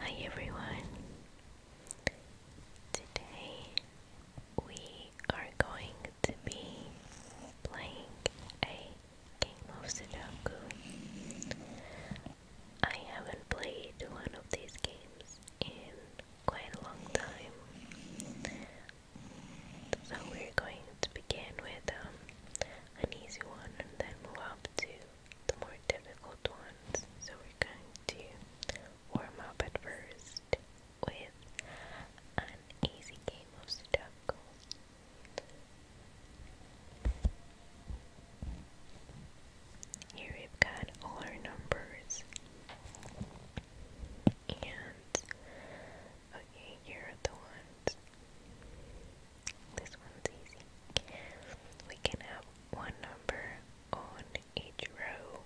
Hi everyone. Today we are going to be playing a game of Sudoku. I haven't played one of these games in quite a long time. So we're going to begin with um, an easy one and then move up to the more difficult ones. So we're going to warm up at first with an easy game of Sudoku. Here we've got all our numbers. And okay, here are the ones this one's easy. We can have one number on each row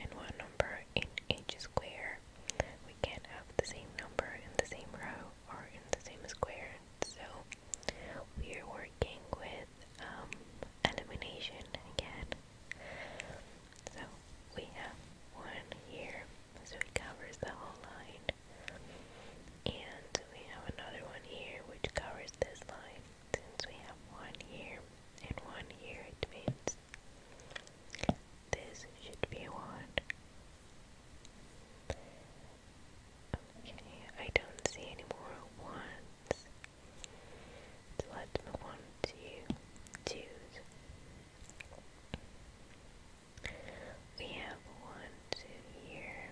and one number in each square. We can't have the same number in the same row or in the same square. So we are working with um, elimination again. So we have one here, so it covers the whole line. And we have another one here which covers this line. Since we have one here and one here, it means this should be one. Okay, I don't see any more ones. let's move we have one, two here.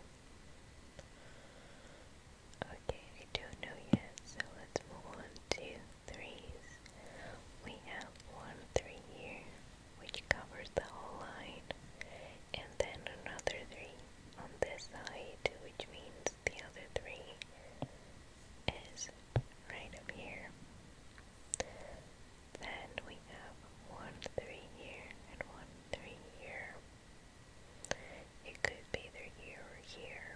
Okay, I don't know yet, so let's move on We have one three here, which covers the whole line, and then another three on this side, which means the other three is right up here. Then we have one three here and one three here. It could be here or here.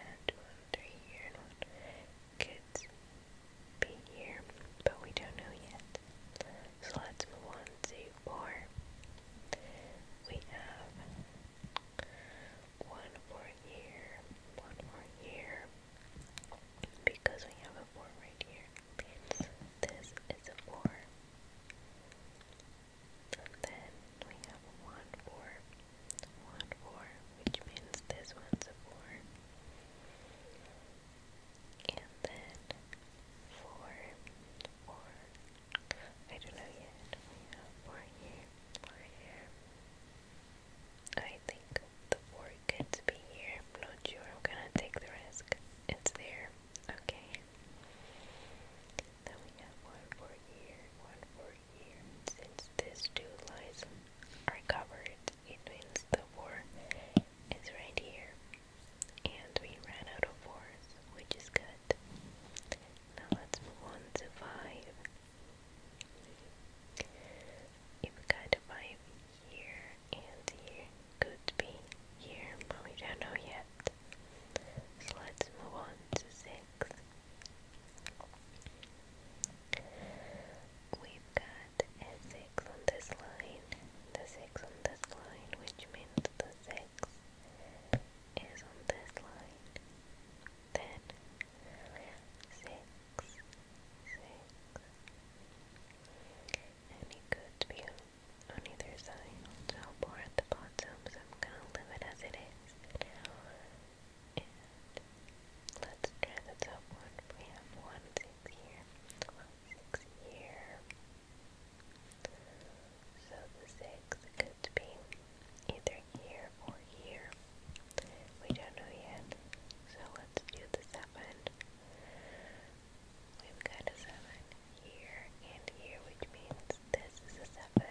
And one three here and one could be here, but we don't know yet. So let's move on to four. We have one more here, one more here, because we have a 4 right here. This is a 4. then we have a which means this one's a 4. And then 4, 4. I don't know yet. We have 4 here, 4 here. I think the orchid to be here. I'm not sure. I'm gonna take the risk. It's there. Okay. Then we have one for here, one for here. Since these two lines are covered, it means the four is right here. And we ran out of fours, which is good. Now let's move on to five. If we got a five here and here. Could be here, but we don't know yet. So let's move on to six. We've got a six on this line, the six on this line, which means the six is on this line. Then six, six any good view on either side. So poor at the bottom, so I'm gonna leave it as it is now. And let's try the top one. We have one six here, one six here. So the six could be either here or here. We don't know yet. So let's do the seven. We've got a 7 here and here, which means this is a 7.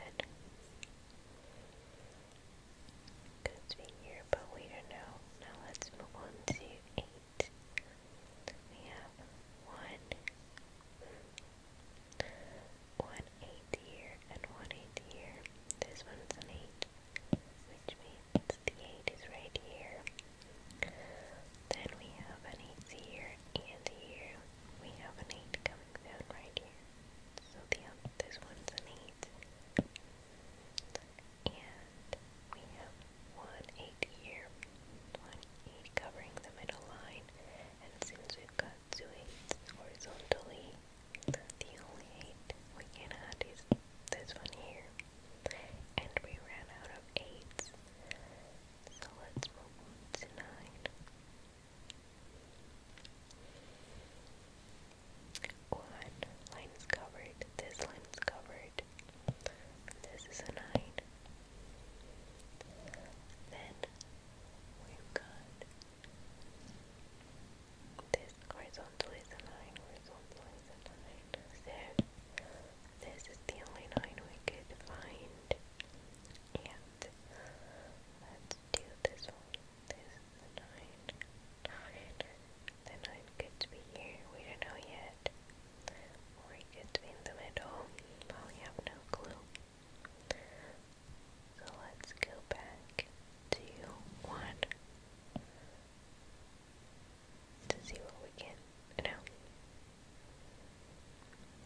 Could be here, but we don't know. Now let's move on to 8. We have 1, here, and 1, 8 here. This one's an 8, which means so the 8 is right here. Then we have an 8 here and here. We have an 8 coming down right here. So the um, this one's an 8. And we have one 8 here. One 8 covering the middle line. And since we've got two 8s horizontally, the only 8 we can add is this one here. And we ran out of eights. So let's move to nine. One line is covered. This line is covered. This is a nine. Then we've got this horizontal is a nine. Horizontal is a nine. There. This is the only line we could find. And let's do this one. This is the nine. could be here. We don't know yet. Or could be in the middle. we have no clue. So let's go back to one to see what we can no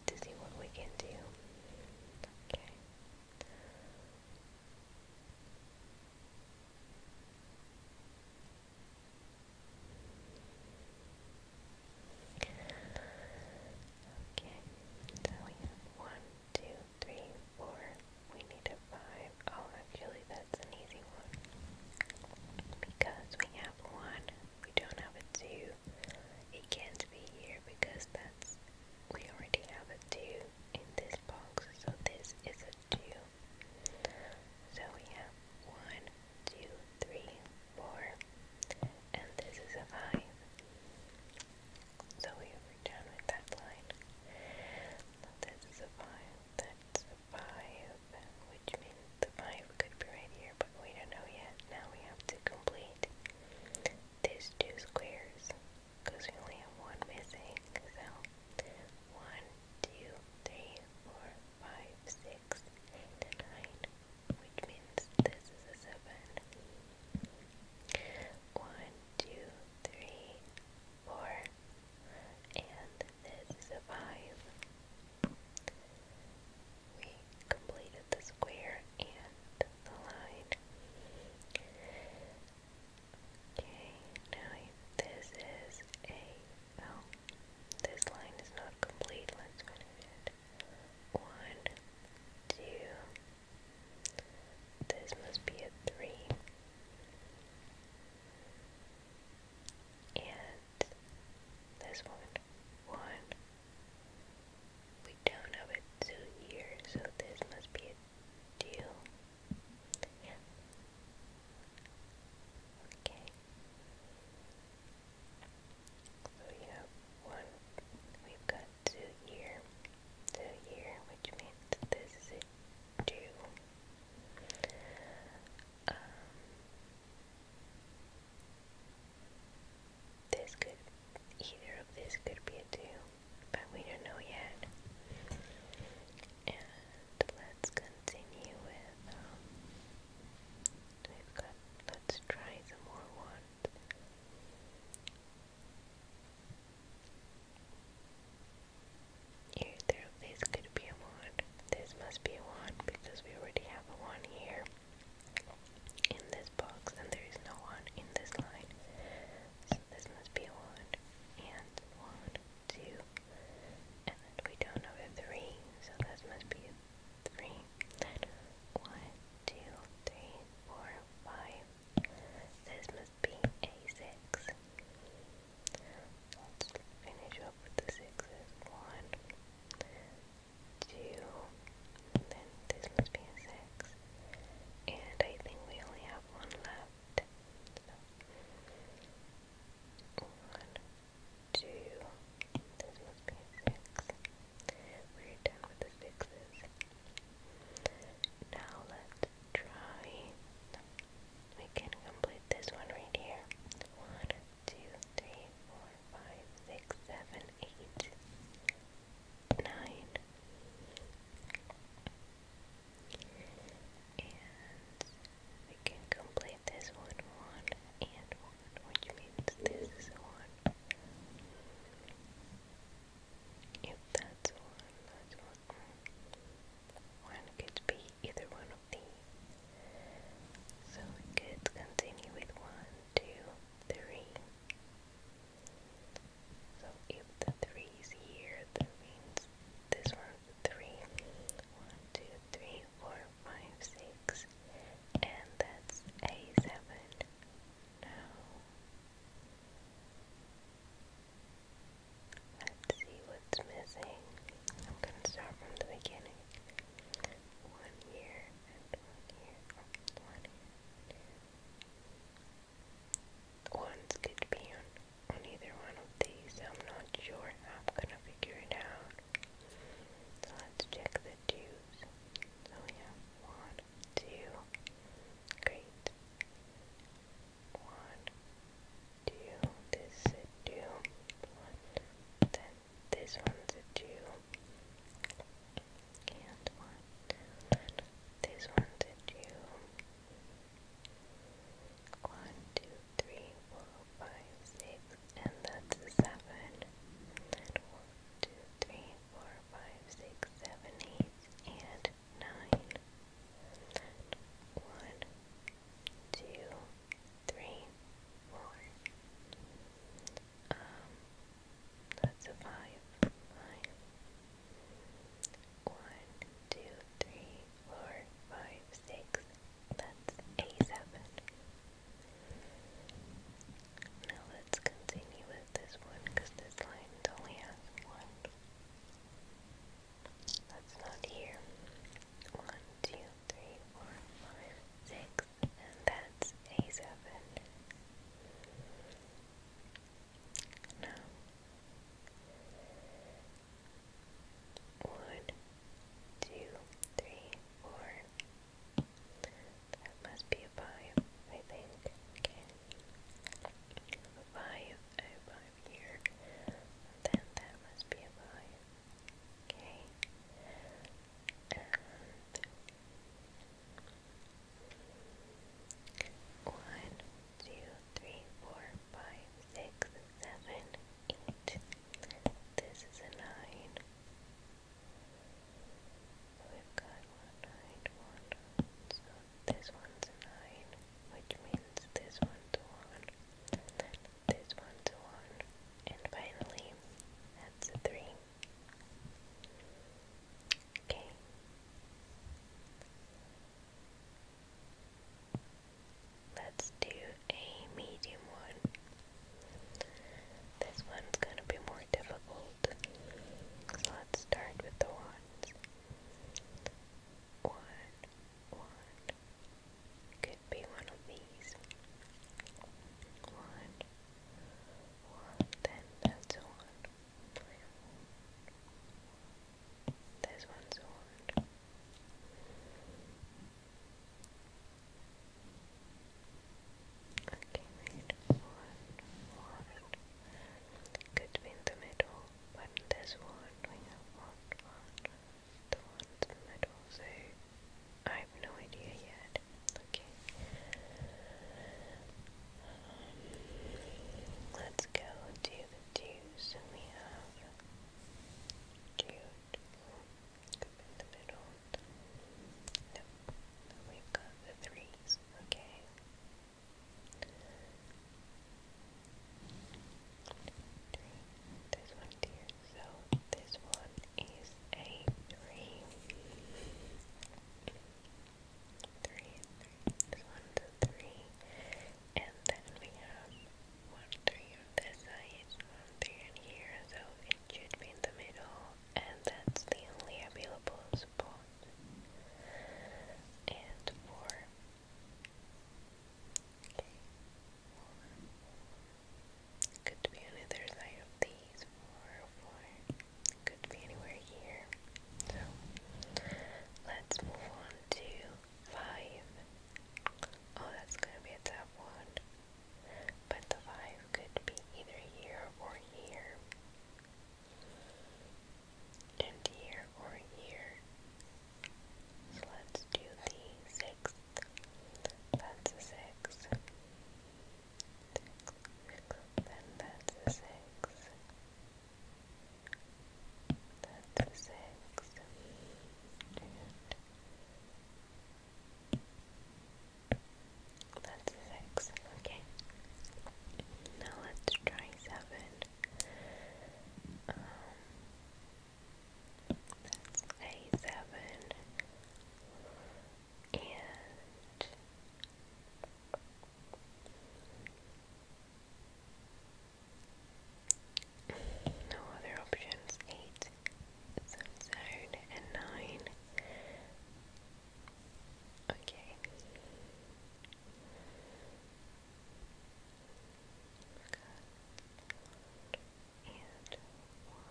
to see what we can do. Okay. Okay, so we have one, two, three, four. We need a five. Oh, actually, that that's an easy one. Because we have one, we don't have a two. It can't be here because that's we already have a two in this box, so this is a two. So we have one, two, three, four, and this is a five. So we are done with that line. This is a five that's 5, which means the 5 could be right here, but we don't know yet. Now we have to complete these two squares, because we only have one missing, so 1, which means this is a 7. 1, and then survive. We completed the square and the line. Okay, now this is a, oh, this line is not complete, let's finish it. One, two, this must be a three and this one, one. We don't have it soon here, so this must be a deal. Okay. So we one, we've got two here, two here, which means this is a two. Um, this could, either of these could be a two, but we don't know yet. And let's continue with, um, we've got, let's try some more ones. Either of these could be a one. This must be a one because we already have a one here in this box and there is no one in this line. So this must be a one and one, two, and then we don't have a three, so this must be a three. Then one, two, three, four, five. This must be a six. Let's finish up with the sixes. One, two, and then this must be a six. And I think we only have one left. So, one, two, this must be a six. We're done with the sixes. Now let's try. We can complete this one right here. One, two, three, four, five, six, seven, eight, nine, and we can complete this one, one, and one, which means this is one. If that's one, that's one. One could be either one so we could Continue with one, two, three. So if the three here, means this one's three, four, five, six, and that's a seven. Now let's see what's missing. I'm gonna start from the beginning one here and one here, and one here and here. Ones be on, on either one of these. I'm not sure I'm gonna figure it out. So let's check the twos. So we have one, two, great. One, two, this is two, one, then this one's a two. And one. This one's a two. One, two, three, four, five, six, and that's 7 12345678 and 9 one, two, three, four, five, six, seven, eight, and nine. And one, two, three, four. Um, that's a five. Five. One, two, three, That's a seven. Now let's continue with this one because this line only has one. That's not here. One, two, three, four, five, six, and that's a seven. Now, one, two, three, four. That must be a five, I think. Okay. A five, a five here. And then that must be a five. Okay and one, two, three, four, five, six, seven, eight. This is nine. we've got one nine, one nine. this one's nine, which means this one's one. This one's one, and finally, that's a three. Okay. Let's do a medium one. This one's gonna be more difficult. So let's start with the ones. One, one, could be one of these. One, one, then that's one. This one. Okay, One, one. Could be in the middle, but in one one, one the ones in the middle, so I have no idea yet. Okay. let's go to the twos, we have Jude in the middle. No, we've got the threes, okay. Three. There's one here, so this one is a This one's three. And then we have one three this side, one three in here, so it should be in the middle, and that's the only available spot. And four. Okay. Could be on either side of these four four. Could be anywhere here. So let's move on to five. Oh, that's gonna be a tough one. But the five could be either here or here. And here or here. So let's do the sixth. That's a six. Then that's a six. That's a six. And that's a six. Okay. Now let's try seven. Um, that's a seven and no other options. Eight, and nine. Okay. Good and one.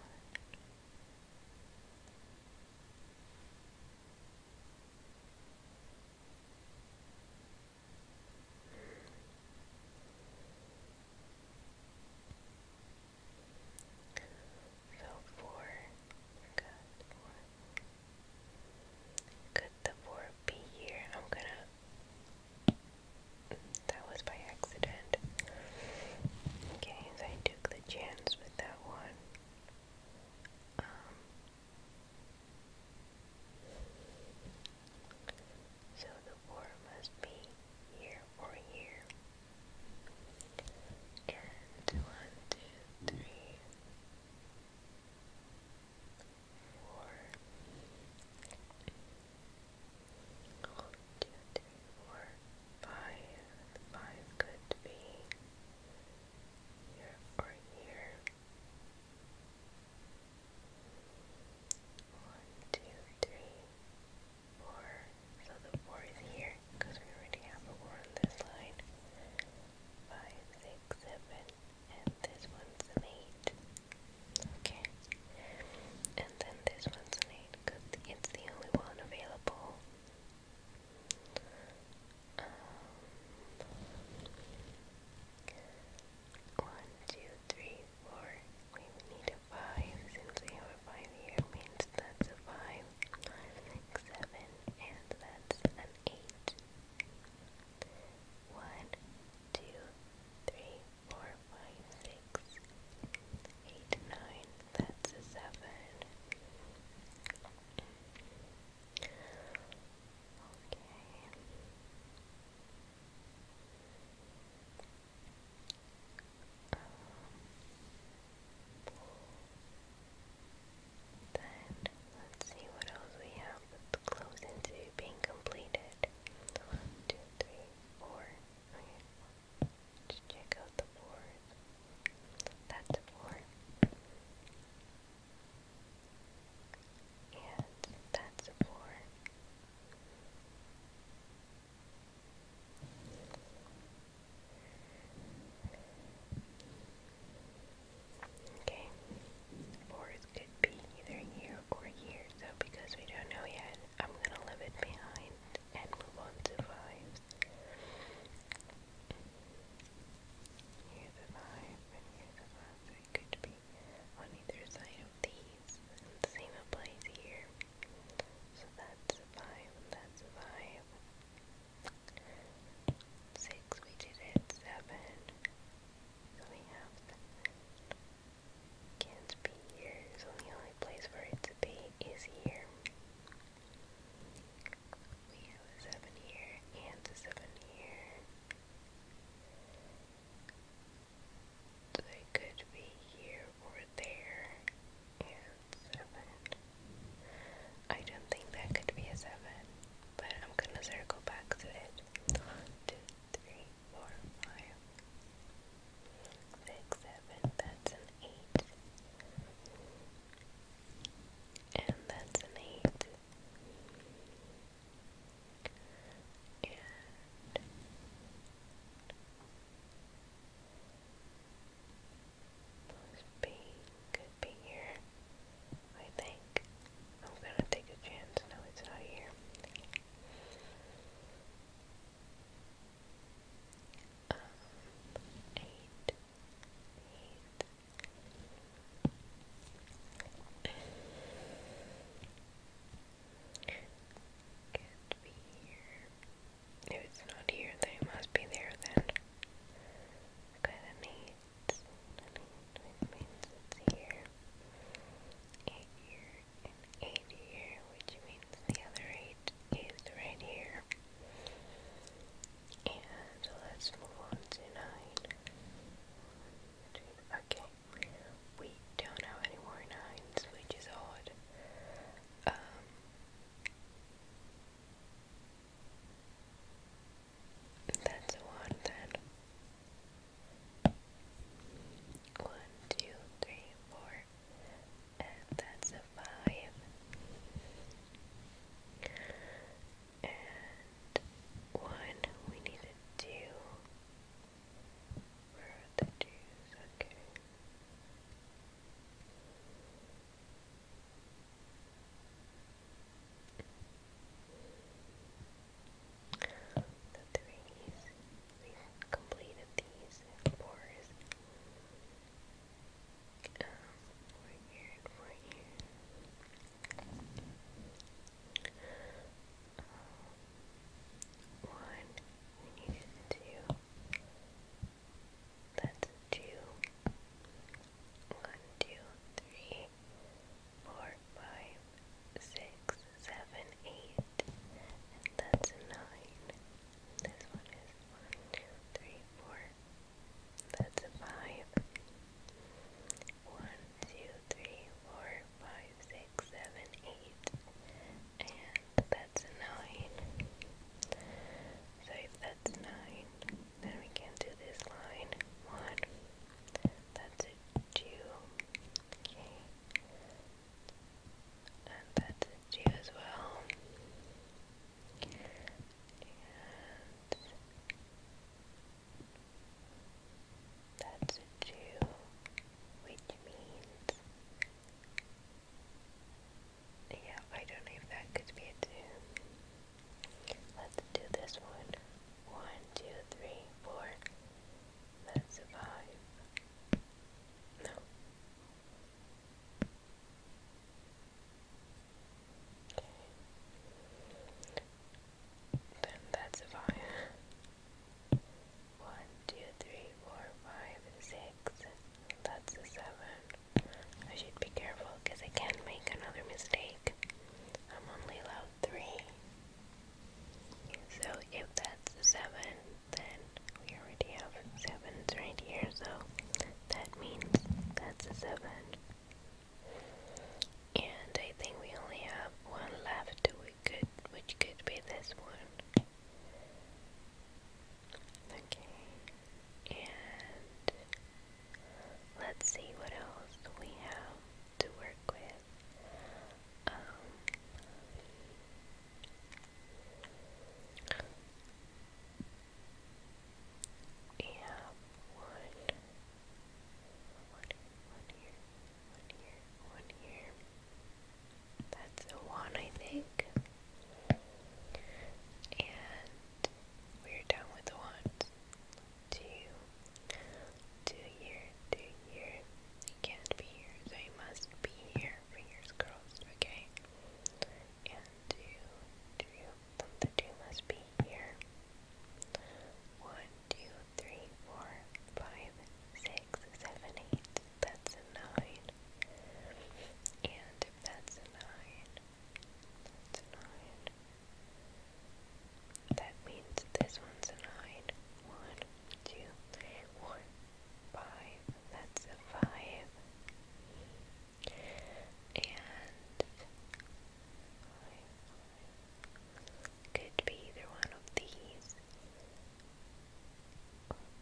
So four, Could the four be here? I'm gonna. That was by accident. Okay, I do the chance with that one. Um, so the war must be here or here. And one, two, three, four, one, two, three, or five. could be here or here. One, two, three, four. So the four is here because we already have a four on this line. Five, six, seven, and this one's an eight. Okay. And then this one's an it's the only one available. Um, one, two, three, four. We need five since we have five here. Means that's a five, five, six, seven, and that's an eight. One, two, three, four, five, six, eight, nine, that's a seven. Okay. Um, then let's see what else we have close into being completed. One, two, three, four. Let's check out the board. That's a board. And that's a board. Okay, boards could be either here or here, so because we don't know yet, I'm gonna leave it behind and move on to fives. Here's a five, and here's a five, could be on either side of these. the same applies here. So that's five, that's five. Six, we did it. Seven. So we have seven. here, so the only place for it to be is here. We have a seven here and a seven here. they could be here or there. And seven. I don't think that could be a seven, but I'm gonna circle back to it. One, two, three, four, five six, seven, that's an eight, and that's an eight, and plus could be here, I think. I'm gonna take a chance, no it's not here. Um, 8 If it's not here, then must be there then. Okay, that means, that means it's here. Eight here and eight here, which means the other eight is right here. And let's move on to nine. okay. We don't have any more nines, which is odd. Um, that's one One, two, three, four, and that's a five. And one, we need a two. Where are the twos? Okay. The threes. We've completed these fours. Um, over one, we needed two. That's two. One, two, three, four, five, six, seven, eight, and that's nine. This one is one, two, three, four. That's a five. One, two, three, four, five, six, seven, eight. And that's a nine. So if that's nine, then we can do this line. One. That's a two. Okay. And that's two as well. And that's a which means yeah, I don't know if that could be a two. Let's do this one. One, two, three, four. That's five. No. Okay. Then that's a five. One, two, three, four, five, six. That's a seven. I should be careful because I can not make another mistake. I'm only allowed three. So if that's a seven, then we already have sevens right here, so that means that's a 7. And I think we only have one left, which could, which could be this one. Okay. And let's see what else we have to work with. Um, yeah, one, here, one here, one here, That's a one, I think. And we're done with the ones. Two, two here, two here. You can't be here, so you must be here. Fingers crossed, okay? and two, two, the two must be here. One, two, three, four, five, six, seven, eight. That's a nine. And if that's a nine, nine. That means this one's a nine. One, two, three, one, five. That's a five and could be either one of these.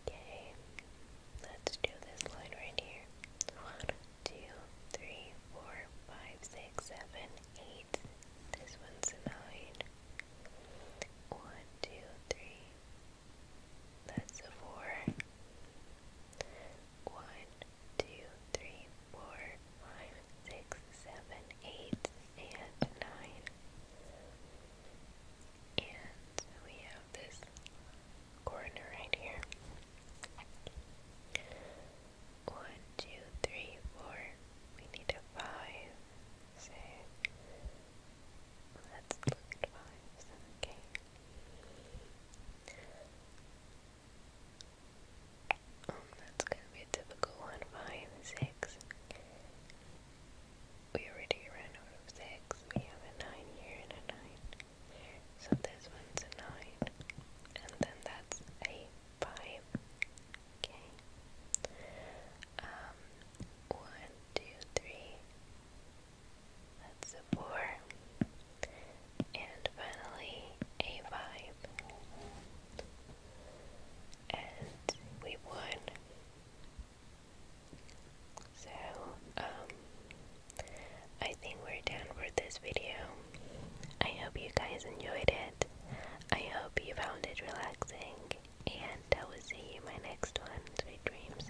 Okay, let's do this line right here. One, two, three, four, five, six, seven, eight. This one's nine. One, two, three. That's four one, two, three, four, five, six, seven, eight, and nine. And we have this corner right here. One, two, three, four. We need a five. So let's look at fives. Okay that's gonna be a typical one. Five, six. We already ran out of six. We have a nine here and a nine. So this one's a nine. And then that's a five. Okay. Um, one, two, three, that's a four. And finally, a vibe, And we won. So, um, I think we're done for this video. I hope you guys enjoyed it. I hope you found it relaxing. And I will see you in my next one. Sweet dreams.